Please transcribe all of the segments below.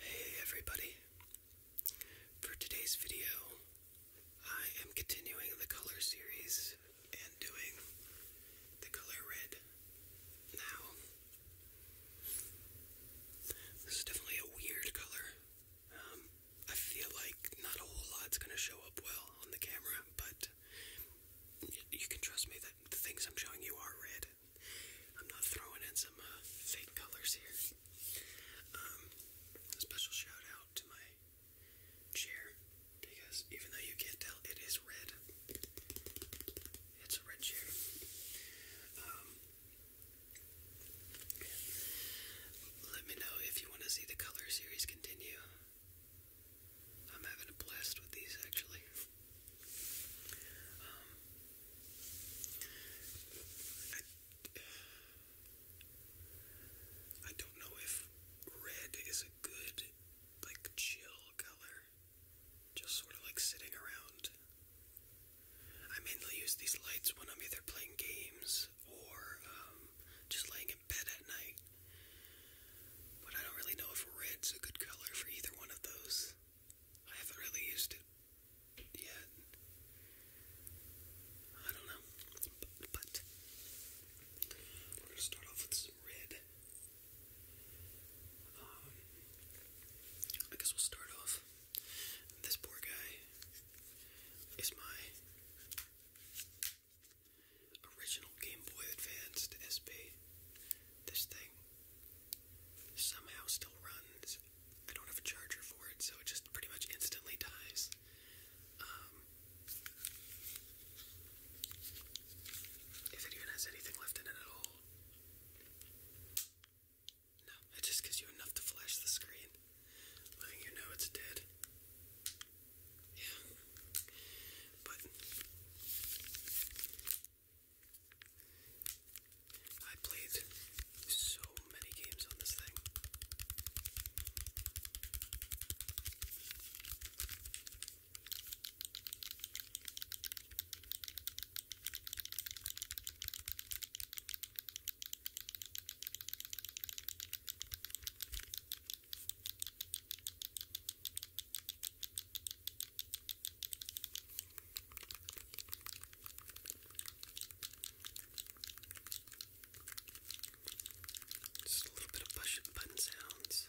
Hey everybody! For today's video, I am continuing the color series and doing the color red now. This is definitely a weird color. Um, I feel like not a whole lot is gonna show up well on the camera, but you can trust me that the things I'm showing you are red. I'm not throwing in some uh, fake colors here. Um, special shout out to my chair because even though you can't tell, it is red. It's a red chair. Um, let me know if you want to see the color series continue. I'm having a blast with these actually. Um, I, don't know if red is a good, like, chill color. Just sort of like sitting around. I mainly use these lights when I'm either playing games or um, just laying in bed at night. But I don't really know if red's a good color for either one of those. I haven't really used it yet. I don't know. But, we're going to start off with some red. Um, I guess we'll start off. This poor guy is my original Game Boy Advanced SP. This thing somehow still runs. I don't have a charger for it, so it just pretty much instantly dies. Um, if it even has anything left in it at all. No, it just gives you enough to flash the screen, letting you know it's dead. Yeah. But I played so many games on this thing. Just a little bit of push button sounds.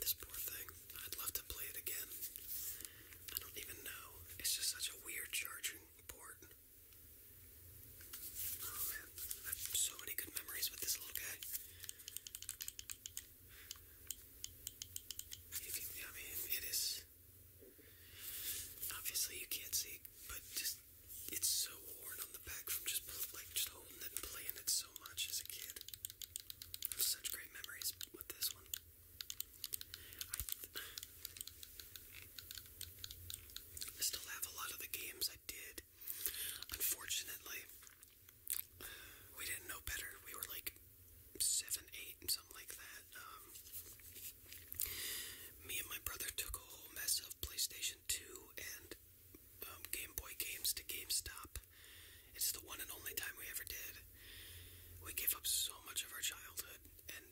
This poor thing. I'd love to play it again. I don't even know. It's just such a weird charging port. Oh man, so many good memories with this little guy. I mean, it is Obviously, you can't see, but just it's so worn on the back from just like just holding and playing it so much as a kid. such great memories with this one. I still have a lot of the games I did. Unfortunately, we didn't know better. We were like seven, eight, and something like that. Um, me and my brother took a whole mess of PlayStation 2 and um, Game Boy games to GameStop. It's the one and only time we ever did. We gave up so much of our childhood, and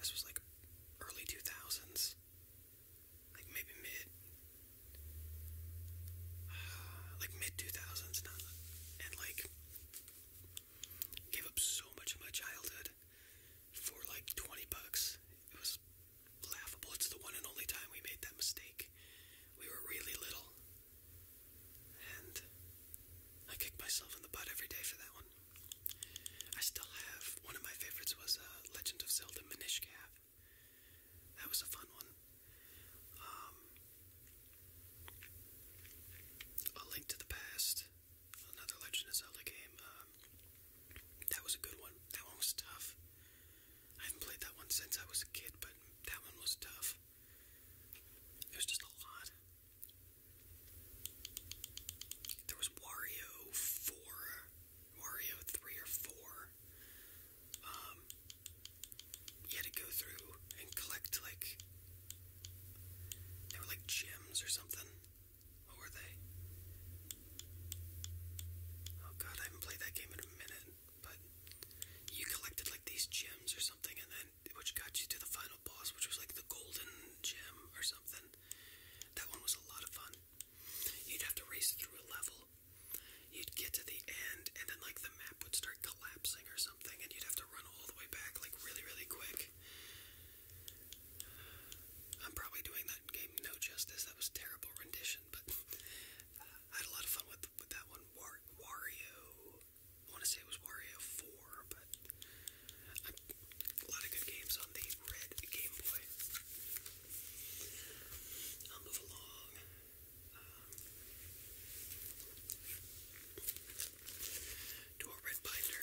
this was like early 2000s, like maybe mid like mid 2000s, and, like gave up so much of my childhood for like 20 bucks. It was laughable. It's the one and only time we made that mistake. We were really little, and I kicked myself in the butt every day for that one. I still have one of my favorites was uh, Legend of Zelda Minish Cap. That was a fun one. Um, a Link to the Past, another Legend Zelda game. Um, that was a good one. That one was tough. I haven't played that one since I was a kid, but that one was tough. It was just a lot. There was Wario 4, Wario 3 or 4. Um, you had to go through and collect like they were like gems or something. What were they? Oh god, I haven't played that game in a minute. But you collected like these gems or something, and then which got you to the final boss, which was like the golden gem or something. That one was a lot of fun. You'd have to race through a level, You'd get to the end, and then like the map would start collapsing or something, and you'd have to run all the way back like really, really quick. I'm probably doing that game no justice. That was terrible rendition, but I had a lot of fun with with that one. Wario. I want to say it was Wario 4, but a lot of good games on the red Game Boy. I'll move along um, do a red binder.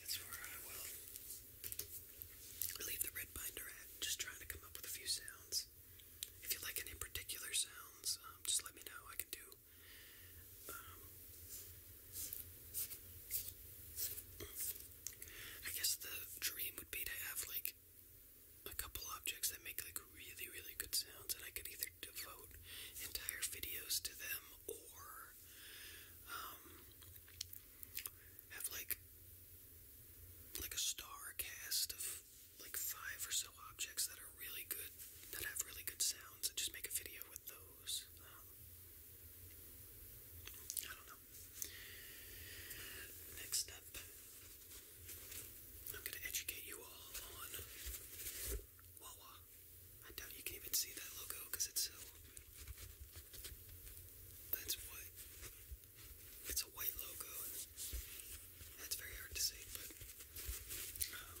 That's where I will leave the red binder at, just trying to come up with a few sounds. If you like any particular sounds, um, just let me know. I can do um, I guess the dream would be to have like a couple objects that make like really, really good sounds, and I could either devote entire videos to them or um, have like like a star cast of like five or so objects that are really good, that have really good sounds, and just make a video with those. Um, I Next up, I'm going to educate you all on Wawa. I doubt you can even see that logo it's so. That's what. It's a white logo, that's very hard to see, but. Um,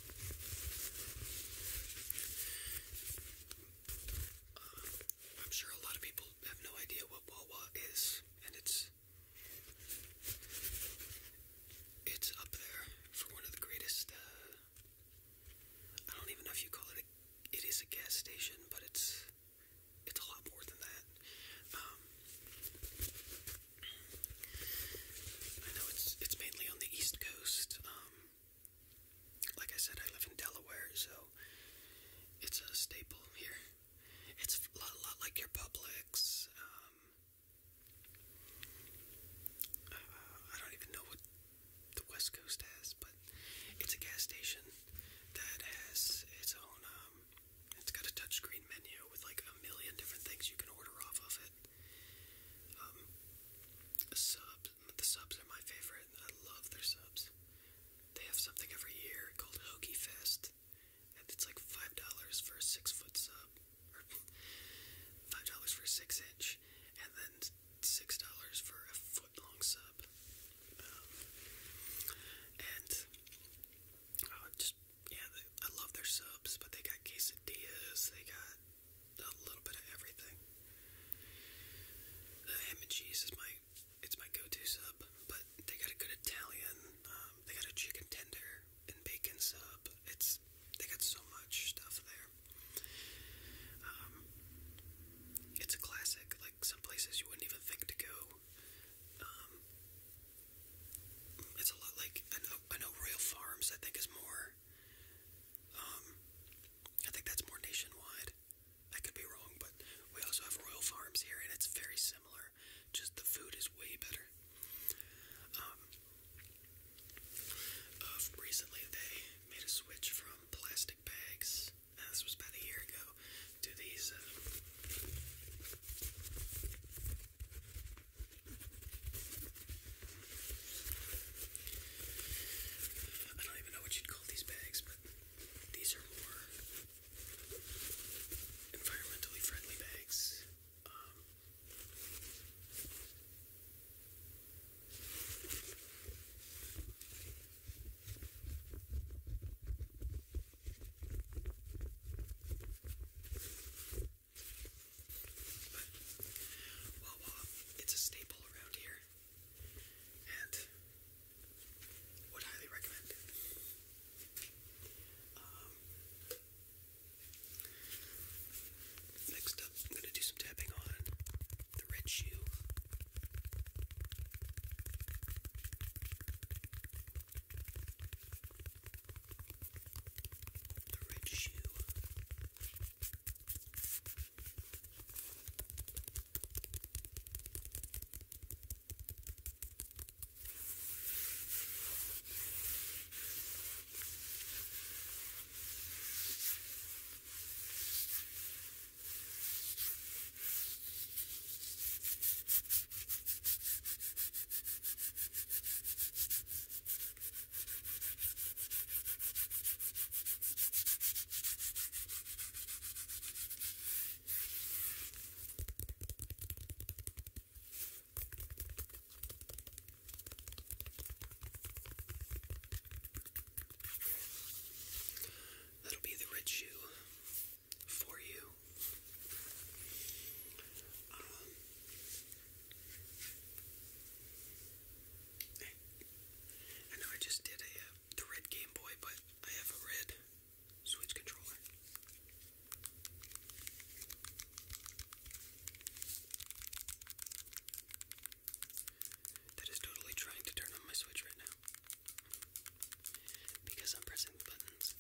Um, I'm sure a lot of people have no idea what Wawa is, and it's it's up there for one of the greatest. Uh, I don't even know if you call it. it is a gas station, but it's it's a lot more than that. Um, I know it's it's mainly on the East Coast. Um, um, like I said, I live in Delaware, so it's a staple here. It's a lot, a lot like your Publix. Um, uh, I don't even know what the West Coast has, but it's a gas station that has its own. Um, it's got a touchscreen menu with like a million different things you can order off of it. Um, subs, the subs are my favorite. I love their subs. They have something every year called Hoagie Fest, and it's like five dollars for a six-foot sub, or five dollars for a six-inch, and then six dollars for a foot-long sub. Um, and uh, just yeah, I love their subs, but they got quesadillas, they got a little bit of everything. The uh, ham and cheese is my it's my go-to sub, but they got a good Italian. Um, they got a chicken tender and bacon sub. It's they got so much stuff there. Um, it's a classic. Like some places you wouldn't even think to go. Um, it's a lot like I know, Royal Farms. I think is more. Um, I think that's more nationwide. I could be wrong, but we also have Royal Farms here, and it's very similar. Just the food is way better. Um, uh, recently, they made a switch from plastic bags. this was about a year ago. To these. Uh, I don't even know what you'd call these bags, but these are more environmentally friendly bags. Um, Wawa, it's a staple around here, and would highly recommend um, next up, I'm gonna do some tapping on the red shoe. The red shoe. Now That'll be the red shoe for you. Um, I know I just did a uh, the red Game Boy, but I have a red Switch controller. That is totally trying to turn on my Switch right now because I'm pressing the buttons.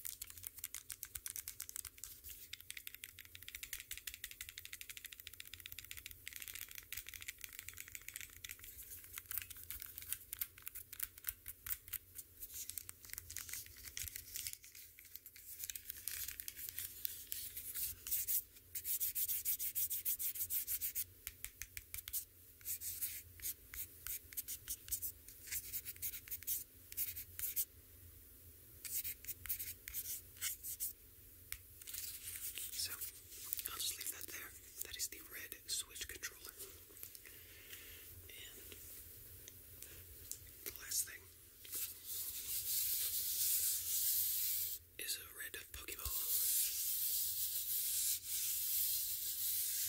So, I'll just leave that there. That is the red Switch controller. And the last thing is a red Pokeball.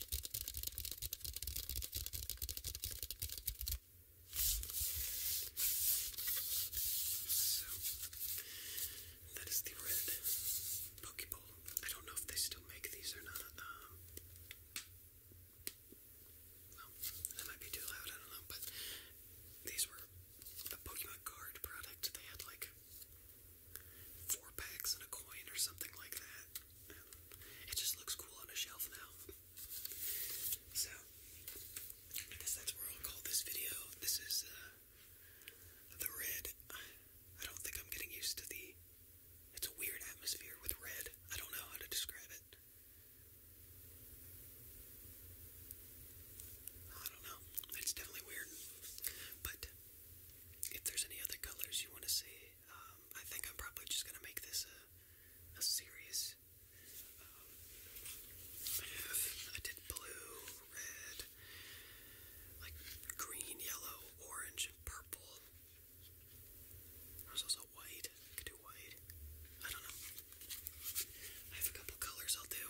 So, that is the red Pokeball. I don't know if they still make these or not. Um, well, that might be too loud, I don't know, but these were a Pokemon card product. They had like four packs and a coin or something like that. It just looks cool on a shelf now. So, I guess that's where I'll call this video. This is uh, the red. I don't think I'm getting used to the. It's a weird atmosphere with red. I don't know how to describe it. I don't know. It's definitely weird. But if there's any other colors you want to see um, I think I'm probably just gonna make this a, a series. I um, did blue, red, like green, yellow, orange, and purple. There's also white. I could do white. I don't know. I have a couple colors I'll do.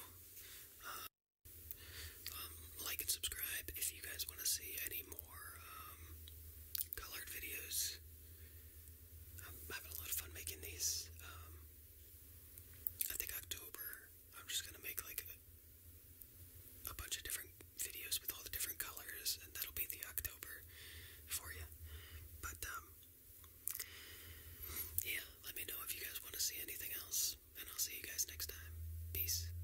Um, like and subscribe if you guys want to see any more um, colored videos. I'm having a lot of fun making these. Um, I think October, I'm just gonna make like a, bunch of different videos with all the different colors, and that'll be the October for you. But, um, yeah, let me know if you guys want to see anything else, and I'll see you guys next time. Peace.